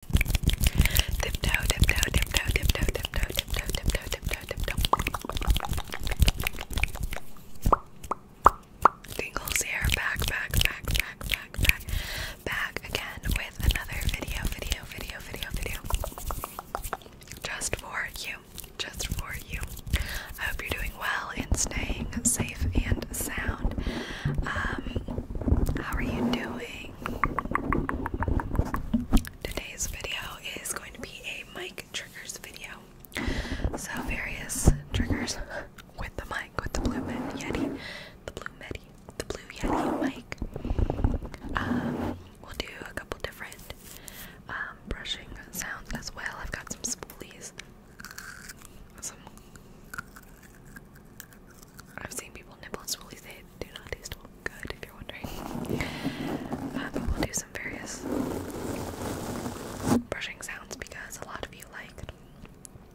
Tiptoe, here, back, back, back, back, back, back, back again with another video, video, video, video, video. Just for you, just for you. I hope you're doing well and staying safe and sound. Um, how are you doing? Today's video is going to be a mic triggers video. So various triggers with the mic, with the Blue Med Yeti, the Blue Med, the Blue Yeti mic. Um, we'll do a couple different um, brushing sounds as well. I've got some spoolies, I've seen people nibble and swirly they do not taste good if you're wondering. Uh, but we'll do some various brushing sounds because a lot of you like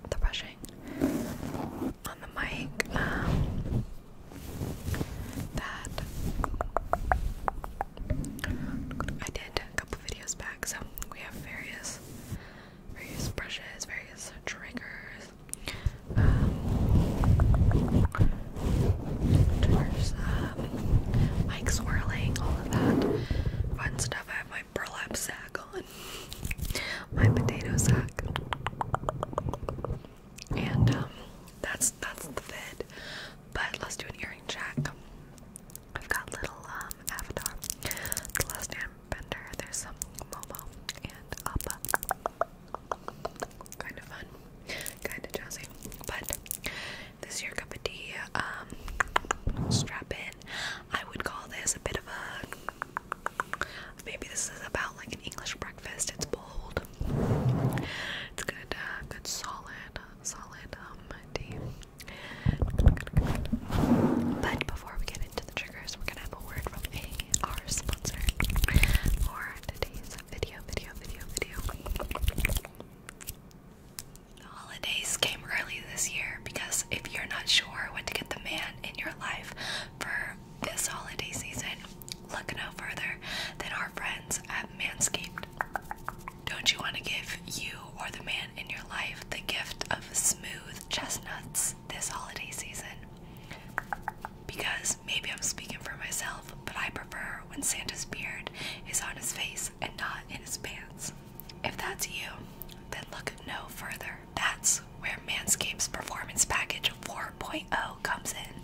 the brushing on the mic. Um, that I did a couple videos back, so we have various various brushes, various triggers, triggers, um, mic swirling, all of that fun stuff. I have my burlap sack on, my potato sack, and um, that's that's the vid. But let's do an earring check. I've got little um, avatar, the last hand Bender, There's some Momo and Appa. Kind of fun, kind of jazzy. But this is your cup of tea. Um, strap in. I would call this a bit of a. Maybe this is about like an English breakfast. It's bold. It's good. Uh, good solid, solid um tea. But before we get into the we're gonna have a word from our sponsor holidays came early this year because if you're not sure what to get the man in your life for this holiday season, look no further than our friends at Manscaped. Don't you want to give you or the man in your life the gift of smooth, chestnuts this holiday season. Because maybe I'm speaking for myself, but I prefer when Santa's beard is on his face and not in his pants. If that's you, then look no further. That's where Manscapes Performance Package 4.0 comes in.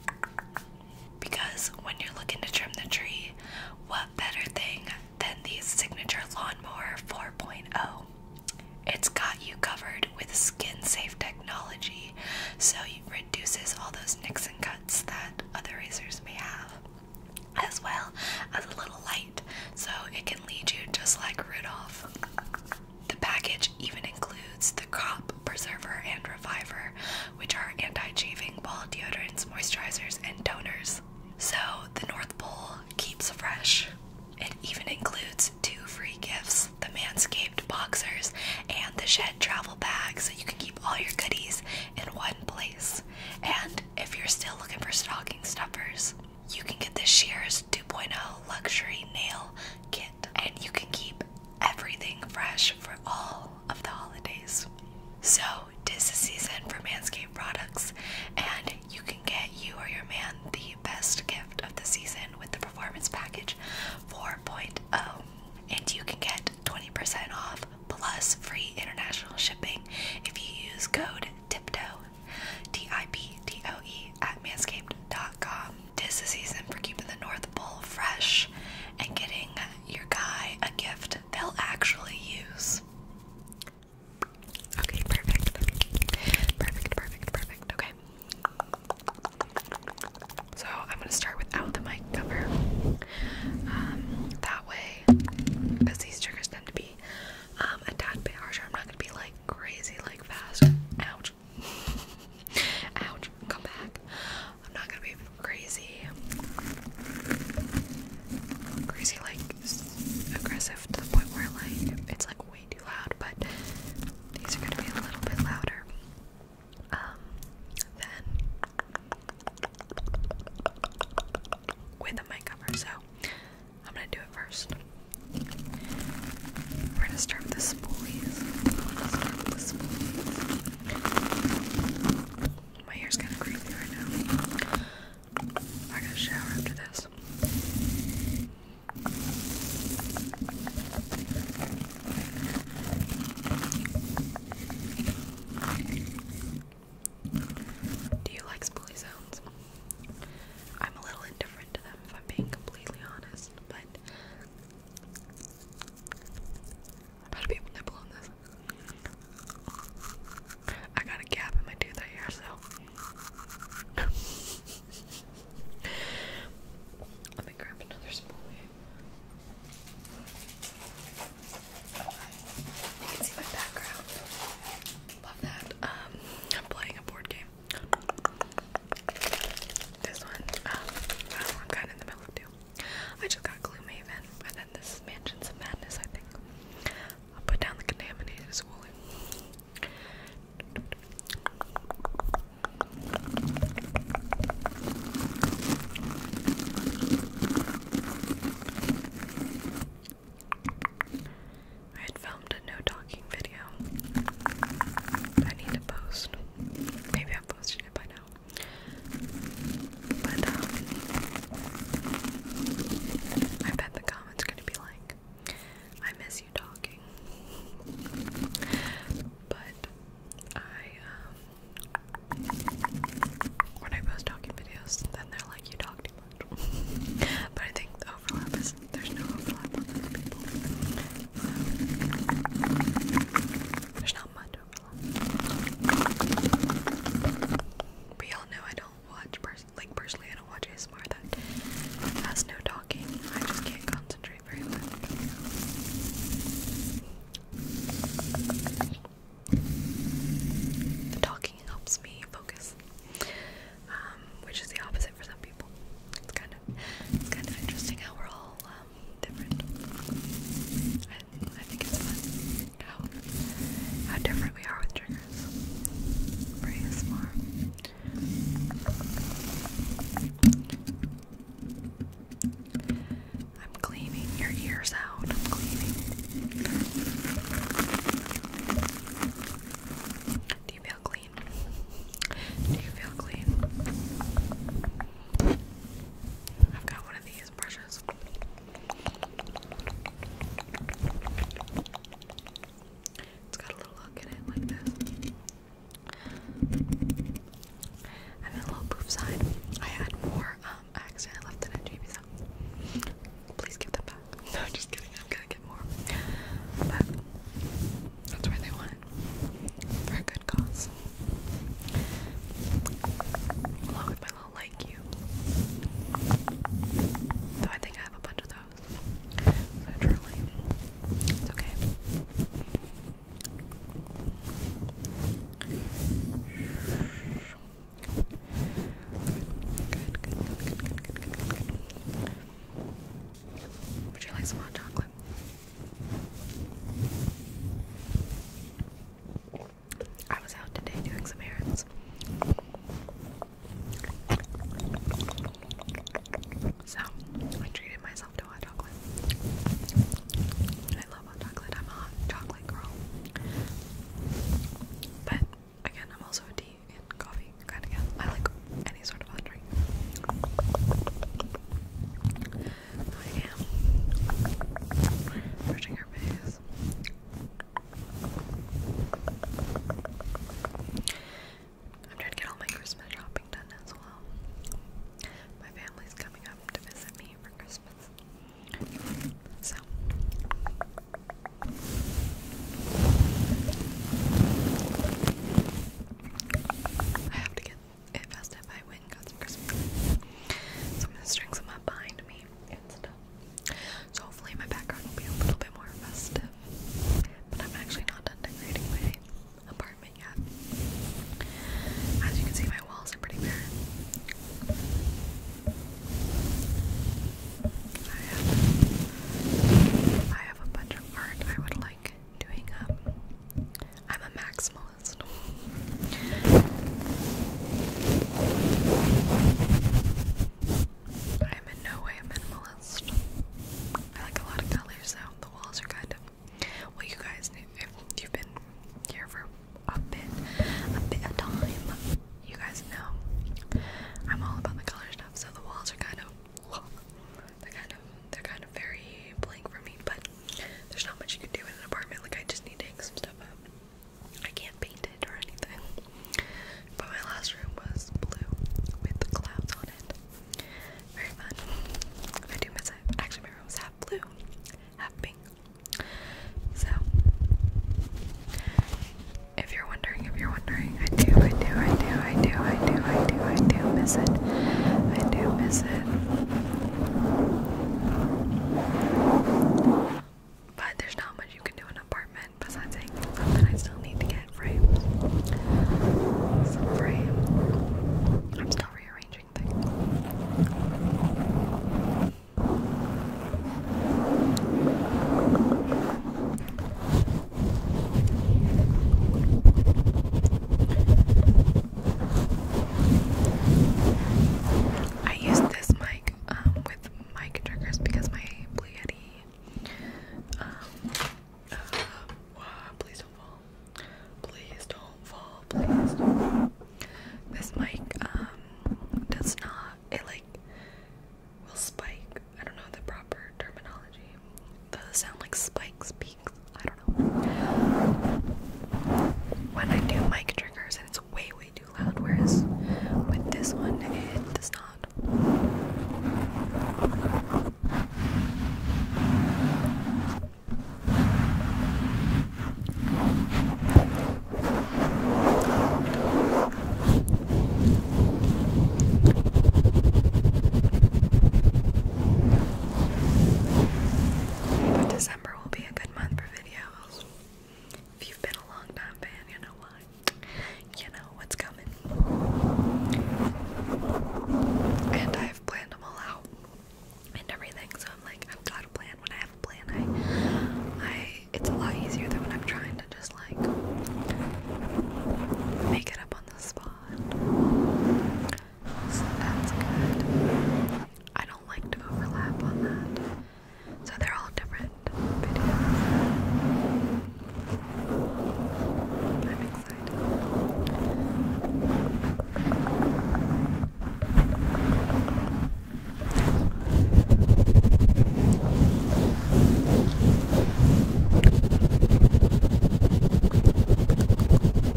Because when you're looking to trim the tree, what better thing than the signature lawnmower 4.0? It's got you covered with skin safe technology, so it reduces all those nicks and cuts that other razors may have, as well as a little light, so it can lead you just like Rudolph. The package even includes the Crop Preserver and Reviver, which are anti chafing ball deodorants, moisturizers, and toners so the North Pole keeps fresh. It even includes two free gifts the Manscaped Boxers and the Shed Travel Bag, so you can keep all your goodies in one place. And if you're still looking for stocking stuffers, you can get the Shears 2.0 Luxury Nail Kit, and you can keep everything fresh for all of the holidays. So, tis the season for Manscaped products, and you can get you or your man the best gift of the season with the performance package 4.0. And you can get 20% off plus free international shipping if you use code TIPTOE, T I P T O E, at manscaped.com. This is season for keeping the North Pole fresh and getting your guy a gift they'll actually use. Okay, perfect. Perfect, perfect, perfect. Okay. So I'm gonna start without the mic cover. Um, that way, because these triggers tend to be um, a tad bit harsher. I'm not gonna be like crazy, like fast. Ouch. Ouch. Come back. I'm not gonna be crazy. Crazy, like aggressive to the point where like it's like way too loud, but these are gonna be a little bit louder. Um then with a mic cover, so I'm gonna do it first. We're gonna start with the spoolies. My hair's kinda creepy right now. I gotta shower after this. Do you like spoolie sounds? I'm a little indifferent to them if I'm being completely honest, but I'm about to nibble on this. I got a gap in my tooth right here, so let me grab another spoolie. You can see my background. Love that. Um, I'm playing a board game. This one, um, I am kind of in the middle of I just got Gloomhaven, and then this is Mansions of Madness, I think. I'll put down the contaminated as I had filmed a no talking video. I need to post. Maybe I've posted it by now. But um, I bet the comments gonna be like, "I miss you talking." But I um, when I post talking videos, then they're like, "You talk too much." but I think the overlap is there's no overlap um, there's not much overlap. But all know I don't watch, pers like personally I don't watch ASMR that has no talking. I just can't concentrate very much. The talking helps me focus, um, which is the opposite for some people. It's kind of, it's kind of interesting how we're all um, different. I think it's fun how, how different we are with triggers for ASMR. I'm cleaning your ears out. I'm cleaning. Do you feel clean? Do you feel clean? I've got one of these brushes. It's got a little hook in it like this. And a little poof sign. I had more, um, I left it at JB's Please give that back. No, just kidding. I'm gonna get more. But that's where they want For a good cause. Along with I'll like you. Though I think I have a bunch of those. So it's okay. Would you like some hot chocolate? I was out today doing some errands. So, I treated myself to hot chocolate. I love hot chocolate. I'm a hot chocolate girl. But again, I'm also a tea and coffee kind of gal. I like any sort of hot drink. I am brushing her face. I'm trying to get all my Christmas shopping done as well. My family's coming up to visit me for Christmas. So I have to get it Fast FI win got some Christmas. So I'm gonna string me and stuff. So hopefully my background will be a little bit more festive. But I'm actually not done decorating my apartment yet. As you can see, my walls are pretty bare. I have, I have a bunch of art I would like doing up. Um, I'm a maximalist. I'm in no way a minimalist. I like a lot of colors though. The walls are good. Well, you guys, if you've been here for a bit, a bit of time, you guys know I'm all about the color stuff. So the walls are kind of, they're kind of, they're kind of very blank for me. But there's not much you can do in an apartment. Like I just need to hang some stuff up. I can't paint it or anything. But my last room was blue with clouds on it. Very fun. I do miss it. Actually, my room was half blue, half pink. So, if you're wondering, if you're wondering, I do, I do, I do, I do, I do, I do, I do miss it. I do miss it. But there's not much you can do in an apartment besides I still need to get frames. Some frames. I'm still rearranging things. I use this mic um, with mic triggers because my Blue Yeti. Um, uh, uh, please don't fall. Please don't fall. Please don't This mic um, does not. It like will spike. I don't know the proper terminology. The sound like spikes. I don't know. When I do mic triggers, and it's way, way too loud, whereas with this one, it does not. But December will be a good month for videos. If you've been a long time fan, you know why. You know what's coming. And I've planned them all out and everything, so I'm like, I've got a plan. When I have a plan, I, I, it's a lot easier than when I'm trying to just like make it up on the spot. So that's good. I don't like to overlap on that. So they're all different videos. I'm excited.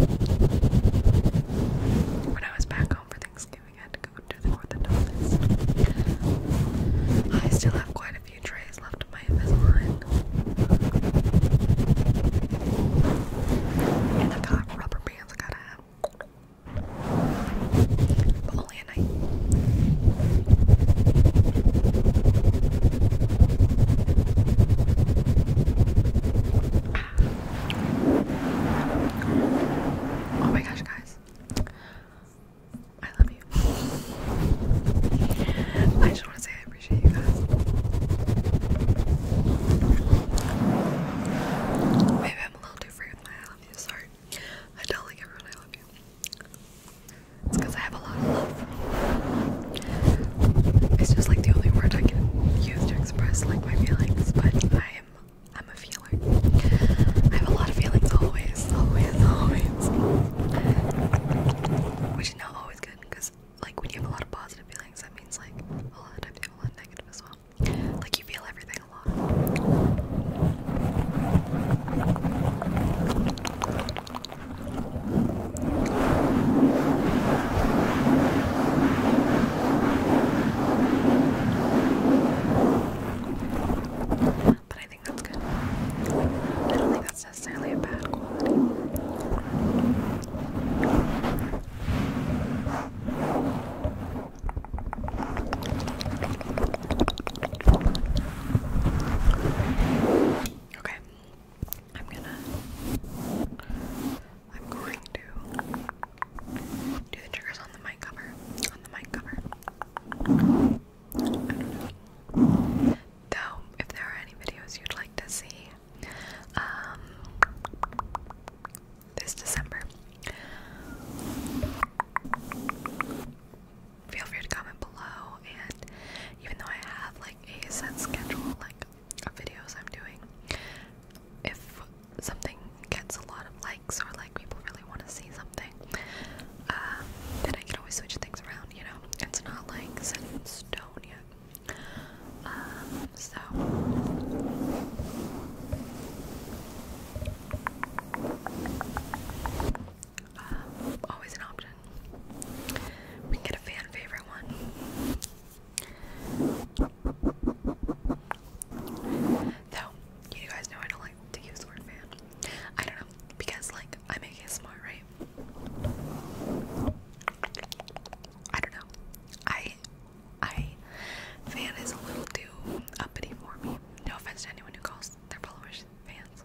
When I was back home for Thanksgiving, had to go to the orthodontist. I still have quite a few trays left of my Invisalign. And I got rubber bands I gotta have. But only at night. Oh my gosh, guys. I love you. I just want to say I appreciate you guys. Maybe I'm a little too free with my I love you. Sorry. I tell like everyone love you. It's because I have it's just like the only word I can use to express like my feelings, but I am I'm a feeler. I have a lot of feelings always, always, always. Which is not always good because like when you have a lot of positive feelings that means like a lot of times you have a lot of negative as well. Like you feel everything a lot. But I think that's good. I don't think that's necessarily a bad quality. Okay, I'm gonna I'm going to do the triggers on the mic cover. On the mic cover. Though if there are any videos you'd like to see, um, this December. Feel free to comment below and even though I have like a set schedule, like videos I'm doing. If something gets a lot of likes or like people really want to see something, um, then I can always switch things around. You know, it's not like set in stone yet. Um, so. Um, always an option one. We can get a fan favorite one. Though, you guys know I don't like to use the word fan. I don't know, because like I make it smart, right? I don't know. I I fan is a little too uppity for me. No offense to anyone who calls their followers fans.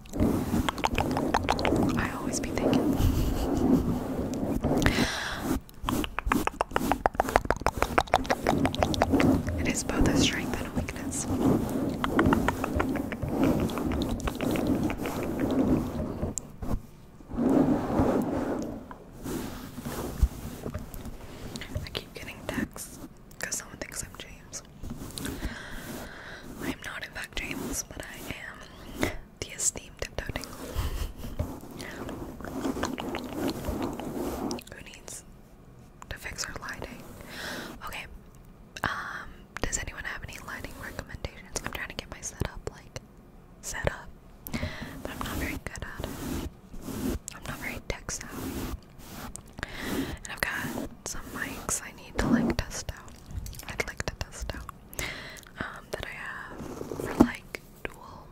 I always be thinking. It is both a strength and a weakness. I keep getting texts because someone thinks I'm James. I am not, in fact, James, but I am the esteemed Tiptoe Tingle. Who needs to fix our lighting? Okay, um, does anyone have any lighting recommendations? I'm trying to get my setup like set up, but I'm not very good at I'm not very tech savvy. I've got some mics I need to like test out. I'd like to test out. Um, that I have for like dual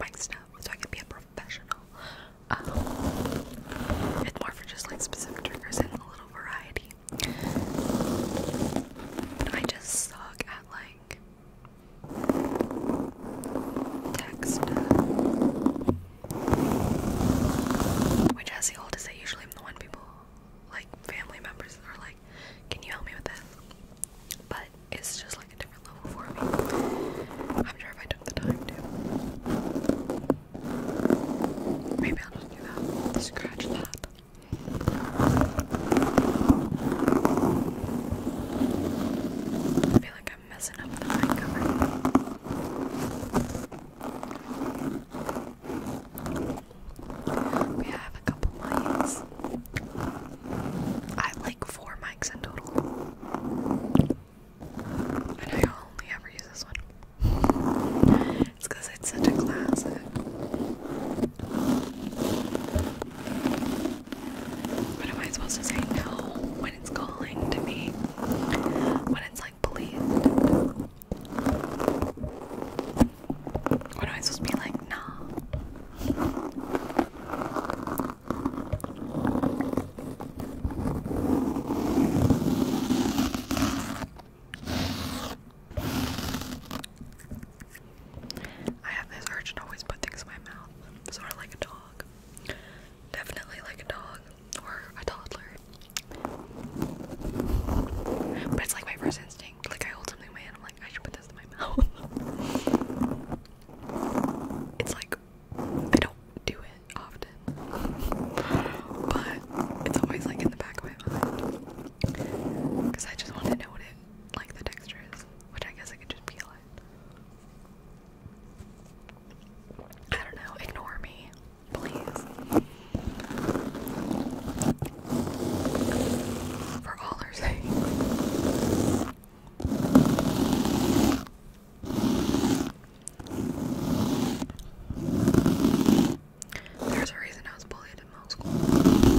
mic stuff so I can be a professional. Um, it's more for just like specific triggers and a little variety. But I just suck at like text which, as the oldest, I usually am the one people, like family members, are like, "Can you help me with this?" But it's just like a different level for me. I'm sure if I took the time to, maybe I'll just do that. Scratch that. I feel I'm messing up the mic cover. We have a couple mics. I have like four mics in total. And I only ever use this one. It's because it's such a classic. What am I supposed to say? No when it's calling to me, when it's like please, What am I supposed to be like? Nah. I have this urge to always put things in my mouth, sort of like a dog definitely like a dog or a toddler. But it's like my first instinct. Like I hold something in my hand, I'm like, I should put this in my mouth. it's like I don't do it often, but it's always like in the back of my mind because I just want to know what it like the texture is, which I guess I could just peel it. I don't know, ignore me, please. For all her sakes. There's a reason I was bullied in middle school.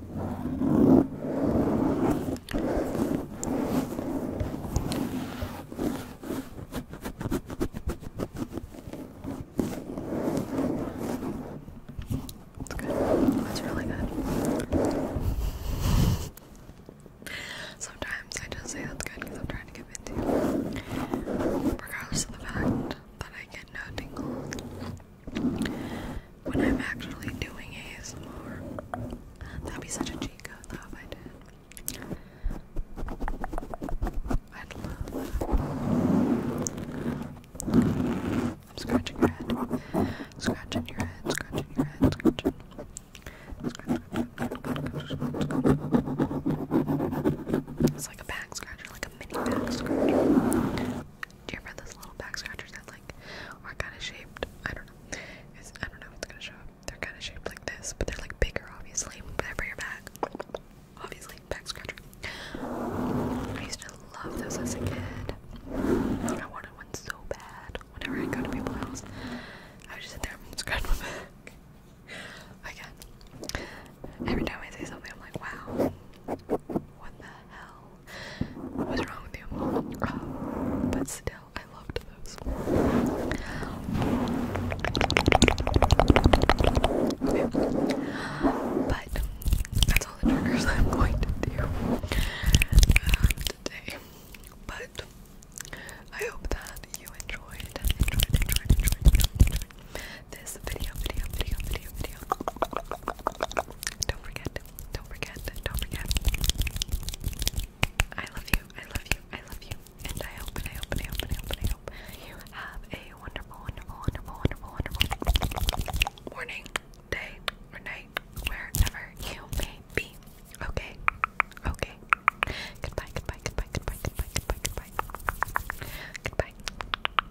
It's good. It's really good. Sometimes I just say that's good because I'm trying to give it you. Regardless of the fact that I get no tingles when I'm actually doing ASMR. That'd be such a cheat code though if I did. I'd love that. I'm scratching your head. Scratching your head, scratching your head, scratching. It's like a back scratcher, like a mini back scratcher. Do you remember those little back scratchers that like are kind of shaped? I don't know. I don't know if gonna show up. They're kind of shaped like this, but they're like bigger, obviously. But they're for your back, obviously. Back scratcher. I used to love those as a kid. I wanted one so bad. Whenever I go to people's house, I would just sit there and scratch my back. Again, every time I say something, I'm like, wow, what the hell? What's wrong with you? Um, but still, I loved those. But that's all the triggers I'm going to do uh, today. But I hope that you enjoyed, this video, video, video, video, video. Don't forget, don't forget, don't forget. I love you, I love you, I love you. And I hope, and I hope, and I hope, and I hope, and I hope you have a wonderful, wonderful, wonderful, wonderful, wonderful morning, day, or night, wherever you may be. Okay, okay. Goodbye, goodbye, goodbye, goodbye, goodbye, goodbye, goodbye. Goodbye.